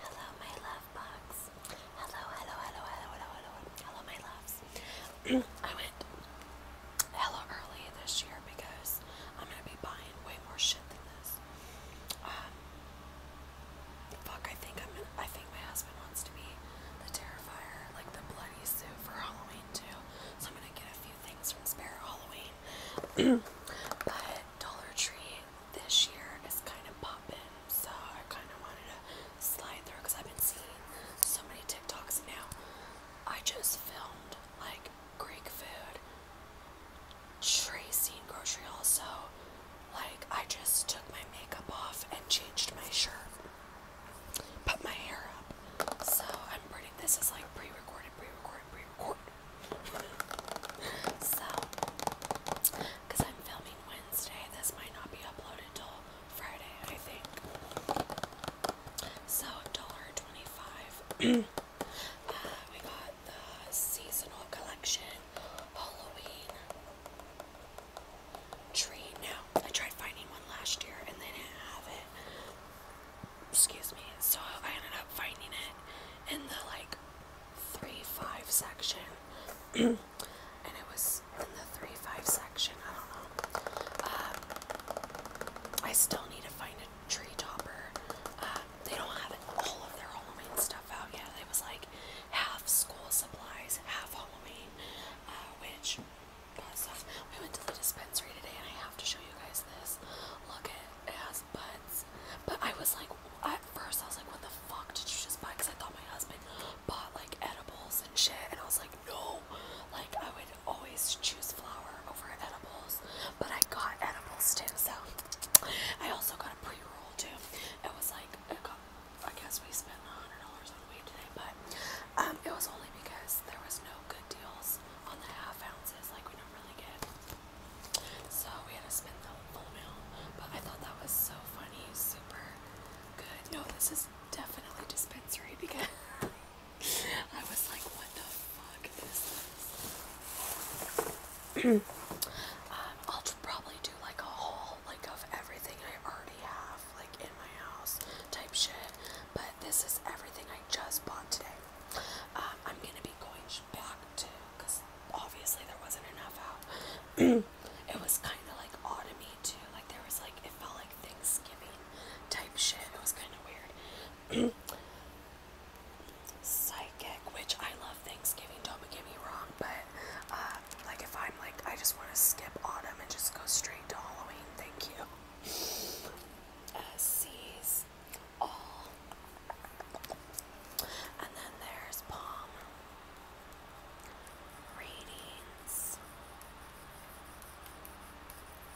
Hello, my love box. Hello, hello, hello, hello, hello, hello, my loves. I went hella early this year because I'm gonna be buying way more shit than this. Um, fuck, I think I'm. Gonna, I think my husband wants to be the terrifier, like the bloody suit for Halloween too. So I'm gonna get a few things from Spare Halloween. but Dollar Tree this year is kind of popping, so I kind of wanted to slide through because I've been seeing so many TikToks now. I just filmed like Greek food, tracing grocery also. like I just took my makeup off and changed my shirt, put my hair up. So I'm pretty. This is like pre-recorded, pre-recorded, pre-recorded so, because I'm filming Wednesday, this might not be uploaded till Friday, I think. So, $1.25. uh, we got the seasonal collection, Halloween tree. Now, I tried finding one last year and they didn't have it. Excuse me. So I ended up finding it in the like three five section, and it was in the three five section. I don't know. Um, I still need to find a tree topper. Uh, they don't have all of their Halloween stuff out yet. It was like half school supplies, half Halloween, uh, which. Stuff. We went to the dispensary today, and I have to show you guys this. Look at ass butts. But I was like, at first I was like, what the fuck did you just buy? Because I thought my husband bought like edibles and shit. And I was like, no. Like I would always choose flour over edibles. But I got edibles too. So I also got a pre-roll too. It was like, I guess we spent a hundred dollars on weed today. But um, it was only because there was no good deals on the half ounces. Like we don't really get so we had to spend the full meal. But I thought that was so funny, super good. No, this is definitely dispensary because I was like, what the fuck is this? Um, I'll probably do like a haul like of everything I already have like in my house type shit. But this is everything I just bought today. Um, I'm gonna be going back to because obviously there wasn't enough out. it was kind of like autumny too. Like there was like it felt like Thanksgiving type shit. It was kind of weird. Psychic, which I love Thanksgiving. Don't get me wrong, but uh, like if I'm like I just want to skip autumn and just go straight to Halloween. Thank you. Uh, and then there's palm ratings.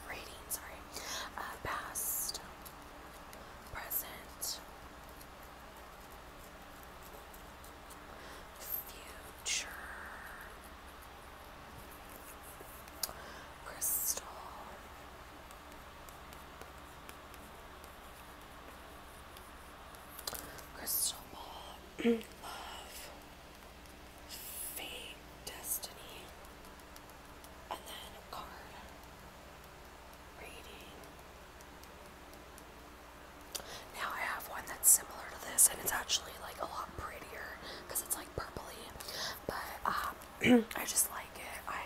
Rating, sorry. Uh, past, present, future, crystal, Crystal Ball, Love, Fate, Destiny, and then card, Reading. Now I have one that's similar to this, and it's actually like a lot prettier because it's like purpley, but um, I just like it. I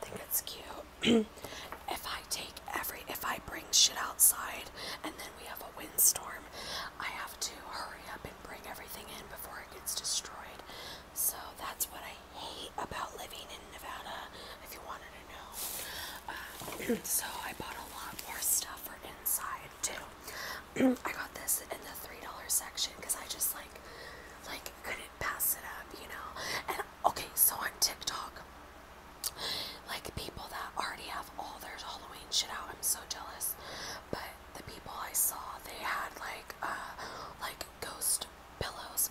think it's cute. if I take every, if I bring shit outside and then we have a windstorm, I have to hurry up and bring everything in before it gets destroyed. So that's what I hate about living in Nevada, if you wanted to know. Um, so I bought a lot more stuff for inside too. I got this in the three dollar section because I just like like couldn't pass it up, you know. And okay, so on TikTok, like people that already have all their Halloween shit out, I'm so jealous. But the people I saw, they had like uh like ghost pillows,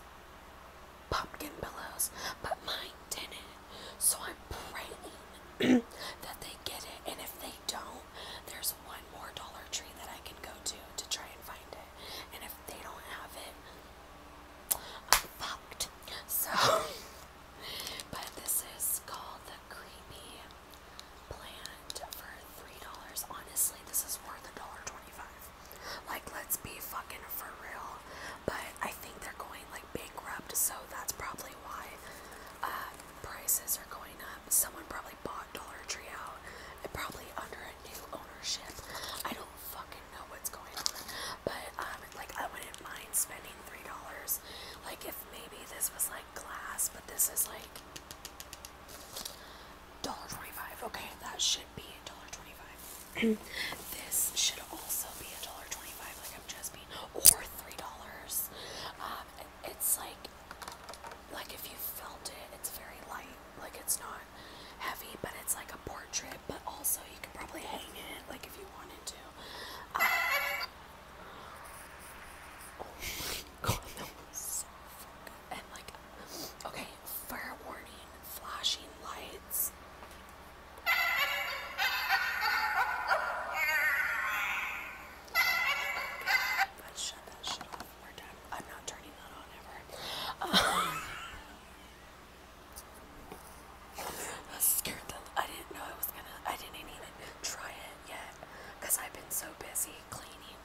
pumpkin pillows, but mine didn't. So I'm praying that they get it, and if they don't there's one more Dollar Tree that I can go to to try and find it. And if they don't have it, I'm fucked. So, but this is called the Creepy Plant for $3. Honestly, this is worth $1.25. Like, let's be fucking for real. But I think they're going like bankrupt, so that's probably why uh, prices are going up. Someone probably bought Dollar Tree out and probably under a new ownership. I don't fucking know what's going on. But um like I wouldn't mind spending three dollars. Like if maybe this was like glass, but this is like dollar twenty-five. Okay, that should be a dollar twenty-five. this should also be a dollar twenty-five, like I'm just being or three dollars. Um, um, it's like, like if you felt it, it's very light. Like it's not heavy, but it's like a portrait. But also, you could probably hang it, like if you wanted to. Um, oh my god, that was so fucking. And like, okay, fair warning, flashing lights. I'm not turning that on ever. Uh, I'm scared that I didn't know I was gonna. I didn't even try it yet, cause I've been so busy cleaning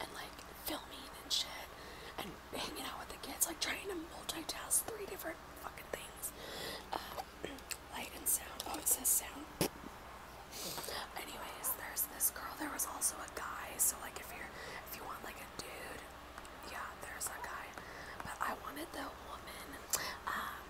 and like filming and shit and hanging out with the kids, like trying to multitask three different fucking things. Um, Light and sound. Oh, it says sound. Anyways, there's this girl. There was also a guy. So like, if you're, if you want like a dude, yeah, there's a guy. But I wanted the woman. Um,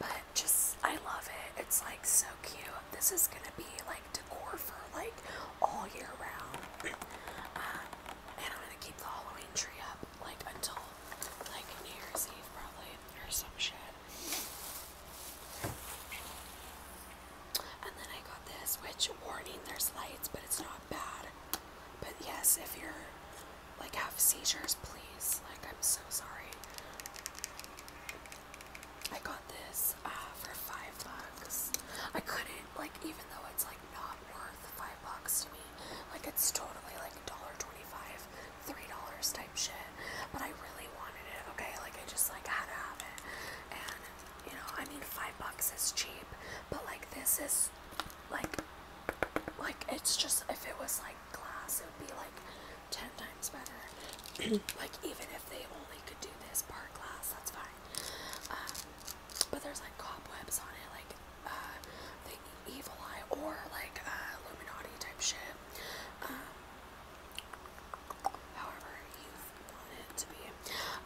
but just, I love it. It's like so cute. This is gonna be like decor for like all year round. Um, and I'm gonna keep the Halloween tree up like until like New Year's Eve probably or some shit. And then I got this, which warning there's lights, but it's not bad. But yes, if you're like have seizures, please. Like I'm so sorry. I got this uh, for five bucks. I couldn't like, even though it's like not worth five bucks to me, like it's totally like dollar twenty-five, three dollars type shit. But I really wanted it. Okay, like I just like had to have it, and you know, I mean, five bucks is cheap, but like this is like, like it's just if it was like glass, it would be like ten times better. like even if they only could do this part glass. That's fine. Um, but there's like cobwebs on it, like uh, the evil eye or like uh, Illuminati type shit. Um, however you want it to be.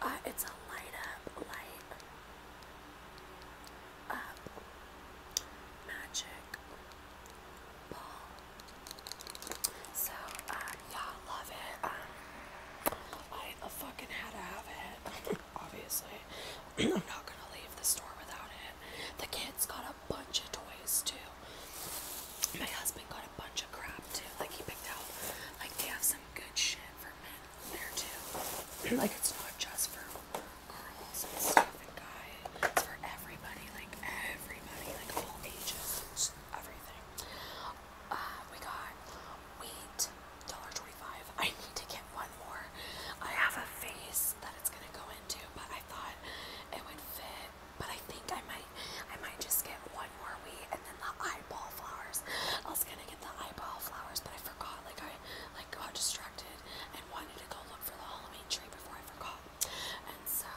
Uh, it's a light up, light up magic so, uh, y'all love it. Um, I fucking had to have it. Obviously, I'm not gonna leave the store without it. The kids got a bunch of toys too. My husband got a bunch of crap too. Like he picked out. Like they have some good shit for men there too. like it's not just for girls and stuff and guys. It's for everybody. Like everybody. Like all ages everything. Uh, we got wheat, $1.25. I need to get one more. I have a vase that it's gonna go into, but I thought it would fit. But I think I might, I might just get one more wheat and then the eyeball flowers. I was gonna get the eyeball flowers, but I forgot. Like I, like got distracted and wanted to go look for the Halloween tree before I forgot. And so,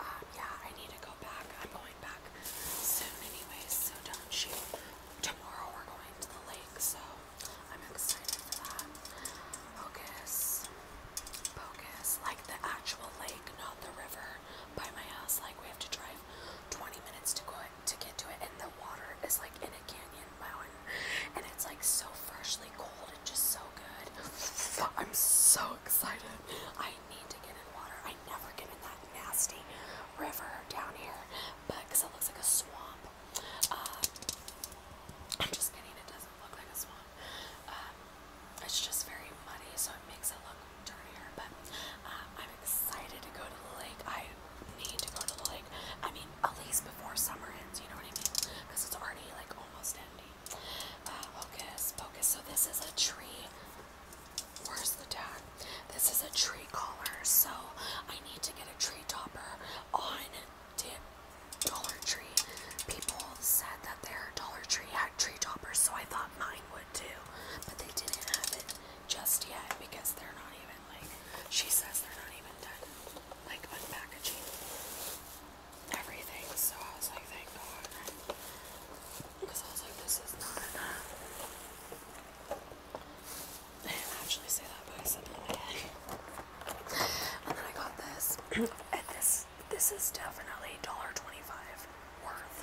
um, yeah, I need to go back. I'm going back soon, anyways. So don't shoot. Tomorrow we're going to the lake, so I'm excited for that. Focus, focus, like the actual lake, not the river by my house. Like we have to drive 20 minutes to go to get to it, and the water is like in a canyon mountain, and it's like so freshly cold just so good. I'm so excited. I need to get in water. I never get in that nasty river down here, but because it looks like a swamp. Um, I'm just kidding. It doesn't look like a swamp. Um, it's just very muddy, so it makes it look dirtier. But um, I'm excited to go to the lake. I need to go to the lake. I mean, at least before summer ends. You know what I mean? Because it's already like almost ending. Ah, focus, focus. So this is a tree. Where's the tag? This is a tree collar. So I need to get a tree topper on Dollar Tree. People said that their Dollar Tree had tree toppers, so I thought mine would too. But they didn't have it just yet because they're not even like she says they're not even done like unpackaging everything. So I was like, thank God. Because I was like, this is not I didn't actually say that, but I said it in And then I got this. and this this is definitely $1.25 worth.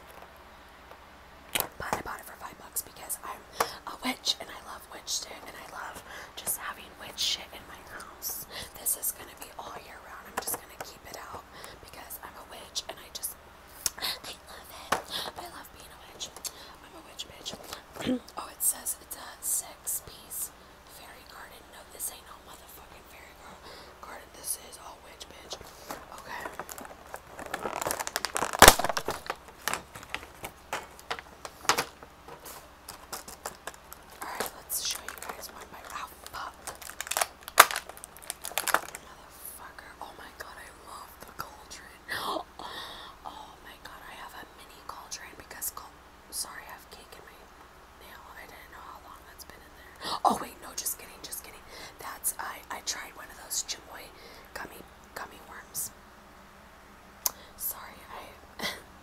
But I bought it for five bucks because I'm a witch and I love witch stick and I love just having Witch, shit in my house. This is gonna be all year round. I'm just gonna keep it out because I'm a witch and I just I love it. I love being a witch. I'm a witch bitch. oh, it says it's a six piece fairy garden. No, this ain't no motherfucking fairy garden. This is all witch bitch. Okay. Alright, let's show you guys one of Ralph Oh my god, I love the cauldron. Oh my god, I have a mini cauldron because Sorry, I have cake in my nail. I didn't know how long that's been in there. Oh wait, no, just kidding, just kidding. That's I. I tried one of those chamoy gummy gummy worms. Sorry, I.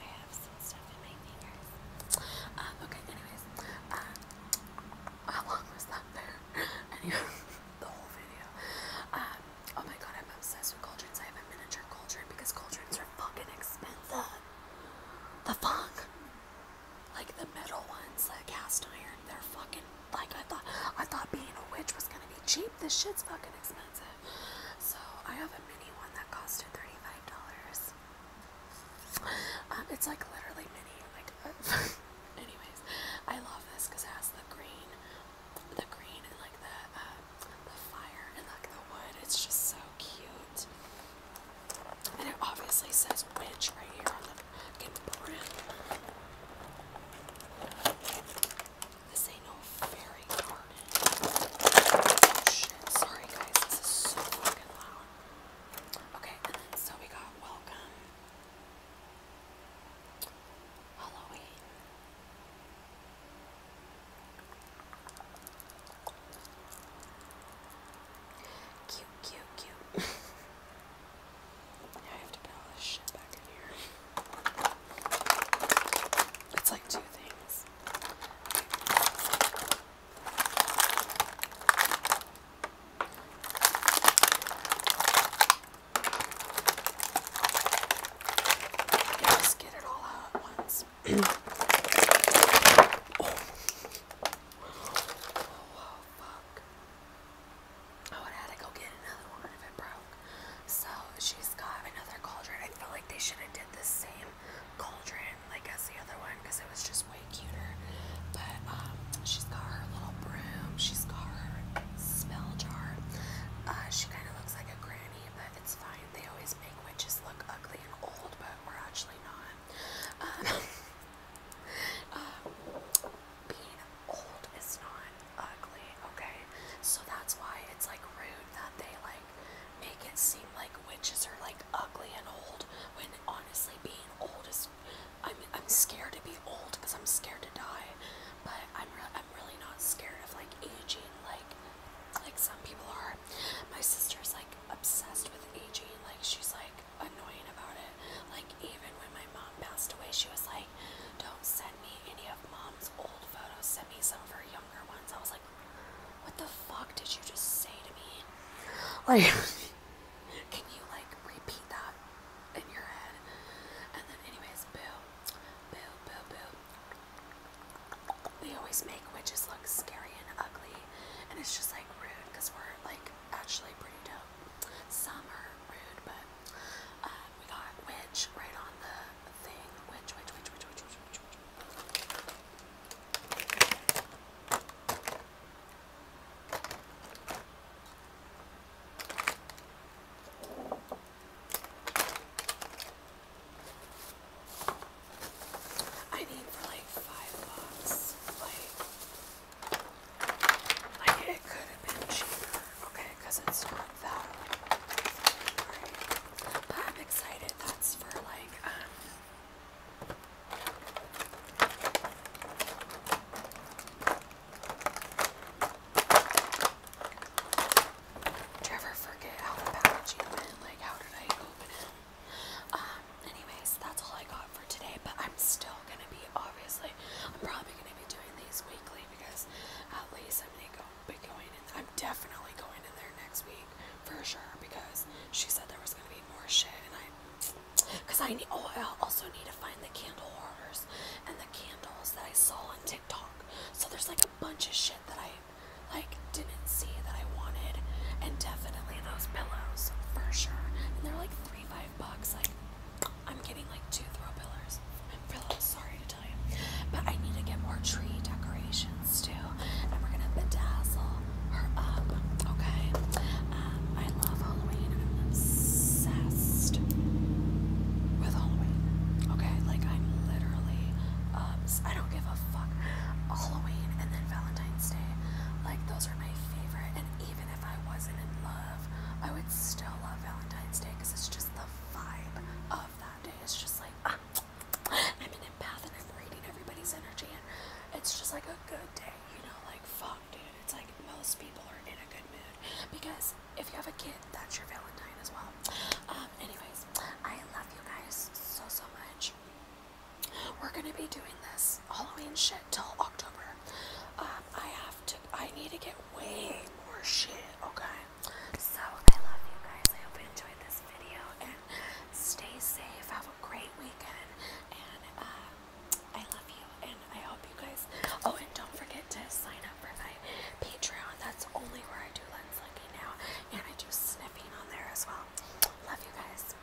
I have some stuff in my fingers. Um, okay, anyways. Uh, how long was that there? Anyway, the whole video. Um, oh my god, I'm obsessed with cauldrons. I have a miniature cauldron because cauldrons are fucking expensive. The fuck? Like the metal ones, the cast iron, they're fucking like I thought, I thought being a witch was gonna be cheap. This shit's fucking expensive. So I have a mini one that cost her thirty-five dollars. Um, it's like literally mini. Like, uh, anyways, I love this because it has the green, the green and like the uh, the fire and like the wood. It's just so cute. And it obviously says witch right here on the fucking brim. This ain't no fairy garden. shit, sorry guys, this is so fucking loud. Okay, so we got welcome. Halloween. Cute, cute, cute. Yeah, I have to put all this shit back in here. It's like two things. just get it all out once. Oh. oh, fuck. I would have to go get another one if it broke. So she's got another cauldron. I feel like they should have did the same cauldron like as the other one because it was just way cuter. But um, she's got her little broom. She's got her spell jar. Uh, she kind of looks like a granny, but it's fine. They always make witches look ugly and old, but we're actually not. Uh, um, being old is not ugly, okay? So that's why it's like rude that they like make it seem like witches are like ugly and old when honestly being old is I'm I'm scared to be old because I'm scared to die. But I'm re I'm really not scared of like aging like like some people are. My sister's like obsessed with aging, like she's like annoying about it. Like even when my mom passed away, she was like don't send me any of mom's old photos, send me some of her younger ones. I was like, what the fuck did you just say to me? Like, can you like repeat that in your head? And then, anyways, boo, boo, boo, boo. They always make witches look scary and ugly, and it's just like rude because we're like actually pretty dope. Some are rude, but um, we got Witch right on the thing. Witch, witch, witch, witch, witch, witch, I need for like five bucks. Like it could have been cheaper, okay, it's not that I'm excited. That's for like um do you ever forget how the packaging went? Like how did I open it? Um anyways that's all I got for today, but I'm still gonna be obviously I'm probably gonna be doing these weekly because at least I'm gonna be going in I'm definitely going in there next week for sure because she said there was gonna be more shit and I because I need oh I also need to find the candle orders and the candles that I saw on TikTok. So there's like a bunch of shit that I like didn't see that I wanted and definitely those pillows for sure. And they're like 3 dollars bucks. Like, I'm getting like two throw pillows. I'm really sorry to tell you. But I need to get more tree decorations too. And we're gonna bedazzle her up, okay? Um, I love Halloween. I'm obsessed with Halloween, okay? Like, I'm literally, um, I don't give a fuck. Halloween and then Valentine's Day, like, those are my favorite. And even if I wasn't in love, I would still love Valentine's Day because it's just the vibe of that day. It's just like ah, I'm an empath and I'm reading everybody's energy, and it's just like a good day, you know? Like, fuck, dude. It's like most people are in a good mood because if you have a kid, that's your Valentine as well. Um, anyways, I love you guys so, so much we're gonna be doing this Halloween shit till October. Um, I have to. I need to get way more shit. Okay. So I love you guys. I hope you enjoyed this video and stay safe. Have a great weekend. And uh, I love you. And I hope you guys. Oh, and don't forget to sign up for my Patreon. That's only where I do lens linking now, and I do sniffing on there as well. Love you guys.